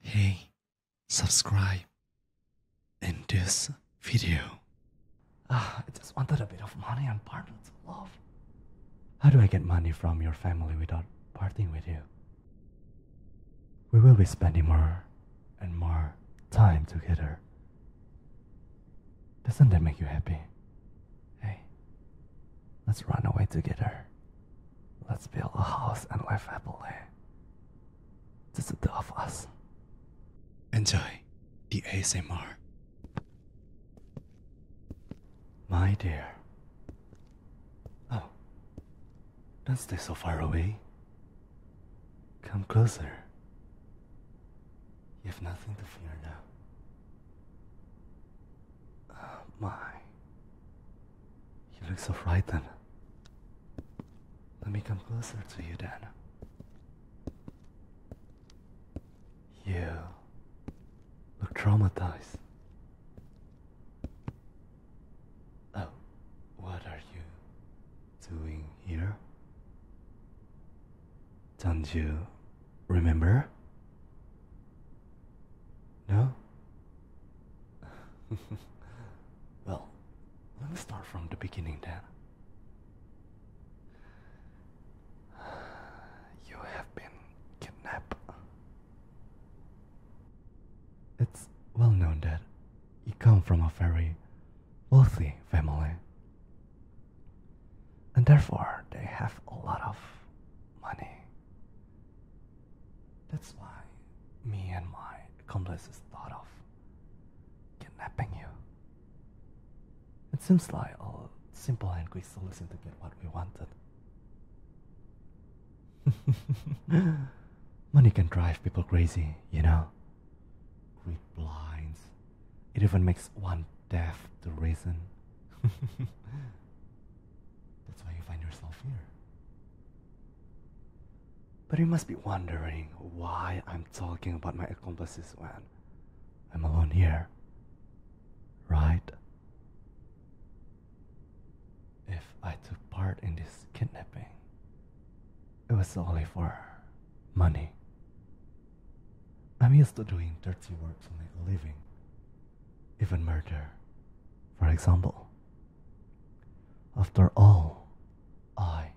Hey, subscribe in this video. Ah, I just wanted a bit of money and partners of love. How do I get money from your family without parting with you? We will be spending more and more time together. Doesn't that make you happy? Hey, let's run away together. Let's build a house and live happily. This is the of us. Enjoy the ASMR. My dear. Oh. Don't stay so far away. Come closer. You have nothing to fear now. Oh, my. You look so frightened. Let me come closer to you Dana. You look traumatized. Oh, what are you doing here? Don't you remember? No? well, let me start from the beginning then. You have been kidnapped. It's well known that you come from a very wealthy family, and therefore they have a lot of money. That's why me and my accomplices thought of kidnapping you. It seems like a simple and quick solution to get what we wanted. Money can drive people crazy, you know? Greed blinds. It even makes one deaf to reason. That's why you find yourself here. But you must be wondering why I'm talking about my accomplices when I'm alone here. Right? If I took part in this kidnapping, it was solely for money. I'm used to doing dirty work to make a living, even murder, for example. After all, I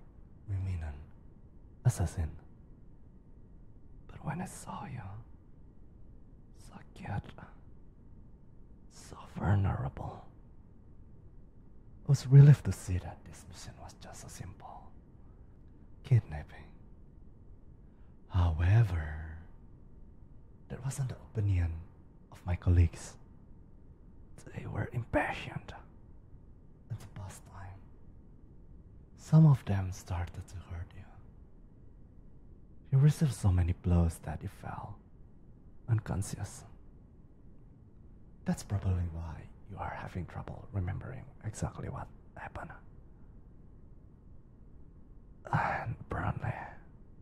remain an assassin. But when I saw you, so cute, so vulnerable, I was relieved to see that this mission was just a simple kidnapping. However, that wasn't the opinion of my colleagues. They were impatient at the past time. Some of them started to hurt you. You received so many blows that you fell unconscious. That's probably why you are having trouble remembering exactly what happened. And apparently,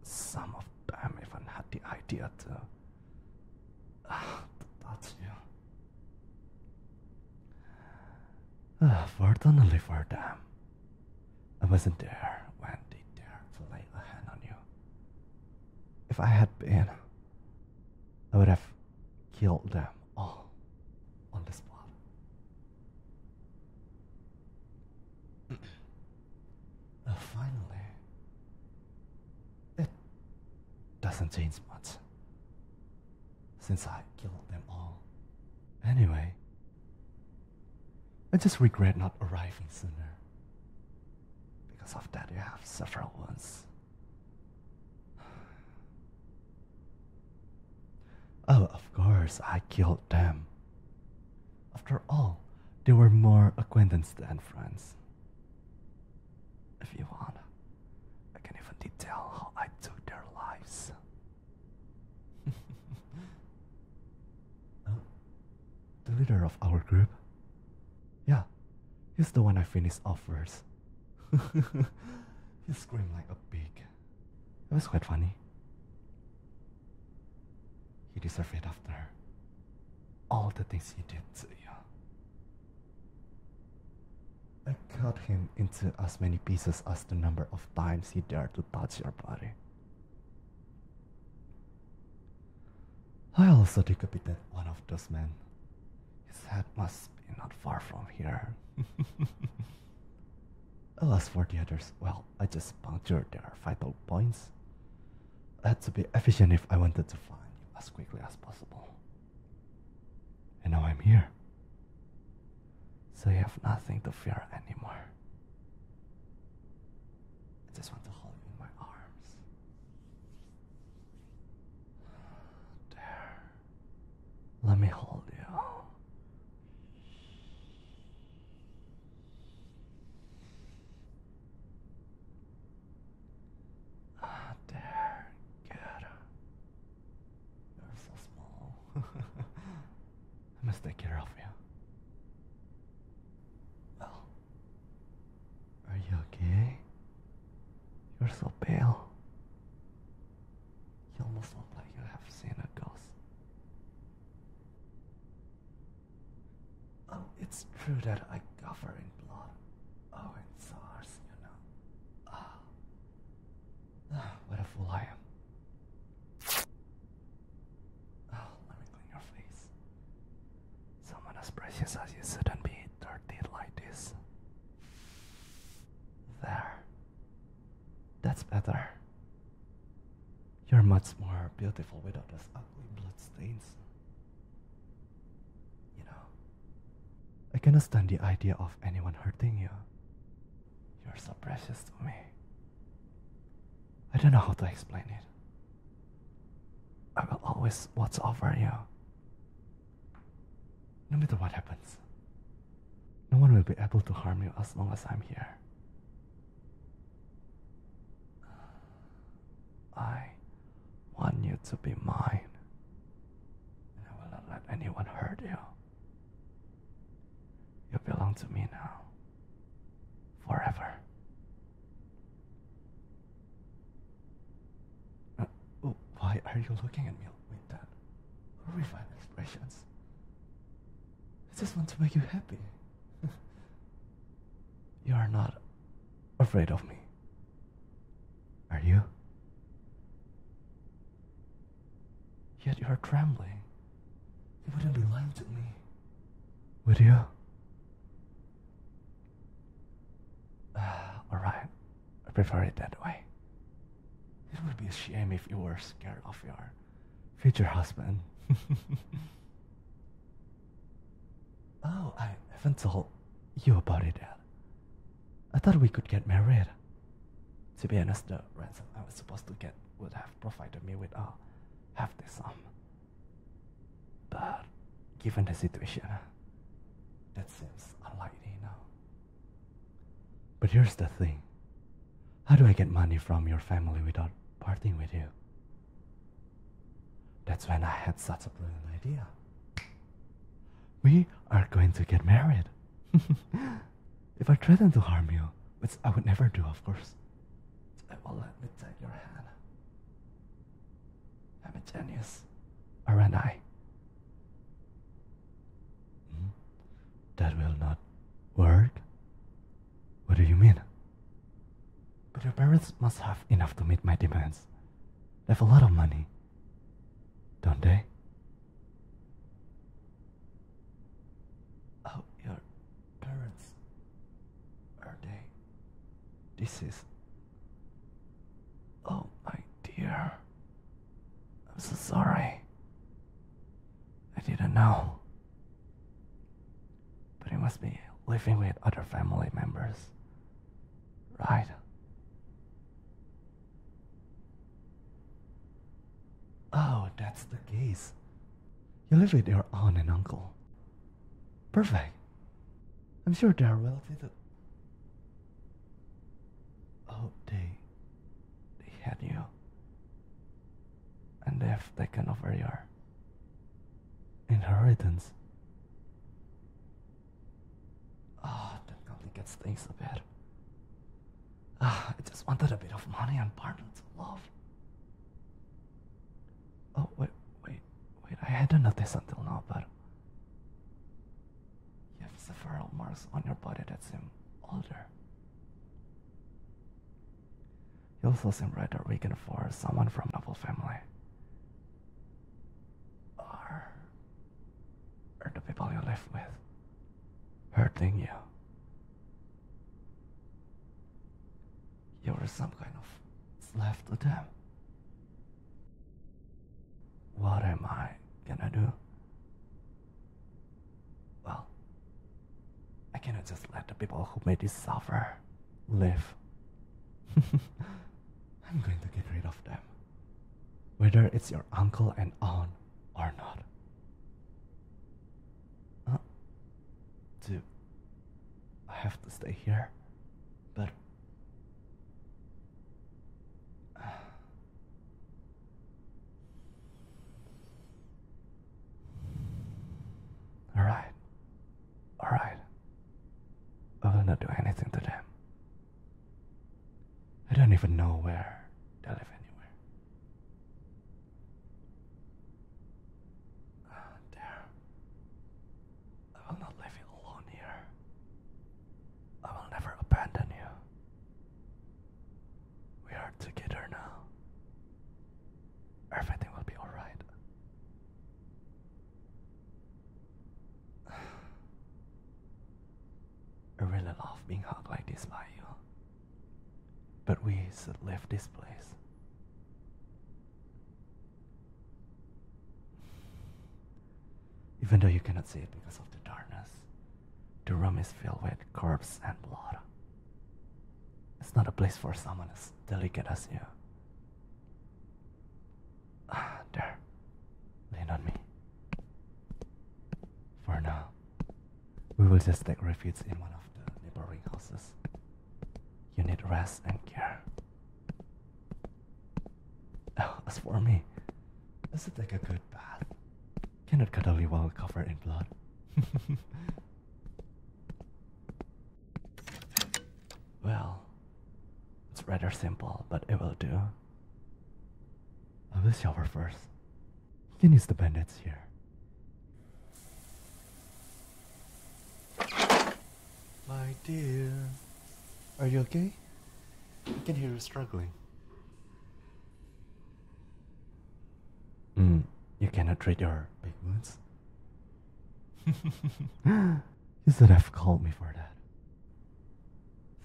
some of them even had the idea to, That's you. Ah, fortunately for them, I wasn't there when they dared to lay a hand on you. If I had been, I would have killed them all on the spot. Oh, finally. It doesn't change much since I killed them all. Anyway, I just regret not arriving sooner. Because of that, you have several ones. Oh, of course, I killed them. After all, they were more acquaintance than friends. If you want, I can even detail how I took their lives. Oh, the leader of our group? Yeah, he's the one I finished off first. he screamed like a pig. It was quite funny. He deserved it after all the things he did to you. I cut him into as many pieces as the number of times he dared to touch your body. I also decapitated one of those men. His head must be not far from here. Alas for the others, well, I just punctured their vital points. I had to be efficient if I wanted to find you as quickly as possible. And now I'm here. So you have nothing to fear anymore. I just want to hold you in my arms. There. Let me hold you. Ah, there, good. You're so small. I must take care of you. Well, are you okay? You're so pale. You almost look like you have seen a ghost. Oh, it's true that I cover in blood. Oh, and SARS, you know. Ah. ah. what a fool I am. Oh, let me clean your face. Someone as precious as you shouldn't be dirty like this. There. That's better. You're much more beautiful without those ugly bloodstains. You know, I cannot stand the idea of anyone hurting you. You're so precious to me. I don't know how to explain it. I will always watch over you. No matter what happens, no one will be able to harm you as long as I'm here. I want you to be mine, and I will not let anyone hurt you. You belong to me now, forever. Uh, oh, why are you looking at me like that? Horrified expressions. I just want to make you happy. you are not afraid of me. Are you? Yet you are trembling. You wouldn't be lying to me. Would you? Alright, I prefer it that way. It would be a shame if you were scared of your future husband. oh, I haven't told you about it I thought we could get married. To be honest, the ransom I was supposed to get would have provided me with half the sum. But given the situation, that seems unlikely now. But here's the thing how do I get money from your family without parting with you? That's when I had such a brilliant idea. We are going to get married. if I threaten to harm you, which I would never do, of course, I will let me take your hand. I'm a genius, aren't I? Hmm? That will not work? What do you mean? But your parents must have enough to meet my demands. They have a lot of money, don't they? Oh, your parents. Are they? This is Oh, my dear. I'm so sorry. I didn't know. But it must be living with other family members. Right? Oh, that's the case. You live with your aunt and uncle. Perfect. I'm sure they are relatively. Oh, they. They had you. And they have taken over your. inheritance. Oh, that complicates things a bit. Ah, I just wanted a bit of money and partners of love. Oh, wait, wait, wait, I hadn't noticed until now, but. You have several marks on your body that seem older. You also seem rather weakened for someone from noble family. Are, are the people you live with hurting you? You're some kind of slave to them. What am I Can I do? Well, I cannot just let the people who made this suffer live. I'm going to get rid of them. Whether it's your uncle and aunt or not. do I have to stay here? But All right. All right. I will not do anything to them. I don't even know where they live anywhere. Oh, I will not leave you alone here. I will never abandon you. We are together now. Everything will be alright. I really love being hugged like this by you. But we should leave this place. Even though you cannot see it because of the darkness, the room is filled with corpses and blood. It's not a place for someone as delicate as you. Ah, there. Lean on me. For now, we will just take refuge in one of the neighboring houses you need rest and care. Oh, as for me, this is like a good bath. Cannot you while covered in blood. well, it's rather simple, but it will do. I will shower first. You can use the bandits here. My dear, are you okay? I can hear you struggling. Mm, you cannot treat your big wounds. you should have called me for that.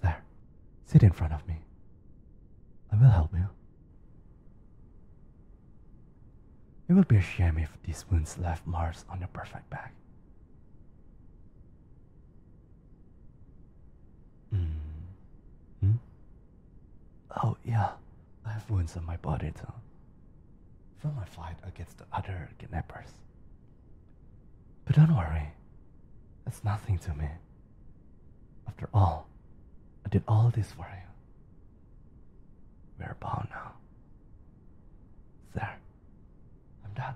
There, sit in front of me. I will help you. It would be a shame if these wounds left marks on your perfect back. Mm. Hmm? Oh, yeah, I have wounds on my body too. From my fight against the other kidnappers. But don't worry, that's nothing to me. After all, I did all this for you. We're about now. There. I'm done.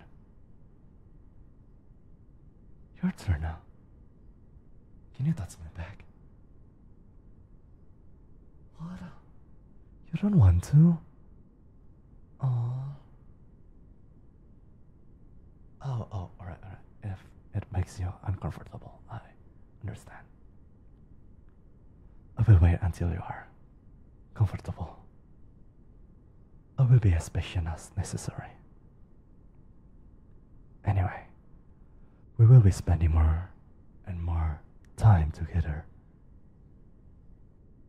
Your turn now. Can you touch my back? What? You don't want to? Oh. Oh, oh, alright, alright. If it makes you uncomfortable, I understand. I will wait until you are comfortable. I will be as patient as necessary. Anyway, we will be spending more and more time together.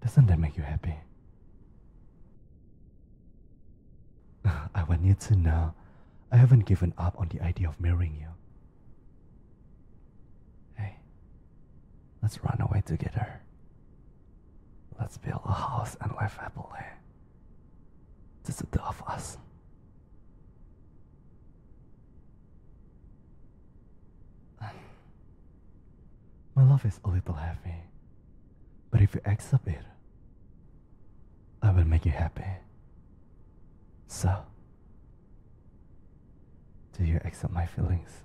Doesn't that make you happy? I want you to know I haven't given up on the idea of marrying you. Hey, let's run away together. Let's build a house and live happily. This is the two of us. My love is a little heavy, but if you accept it, I will make you happy. So, do you accept my feelings?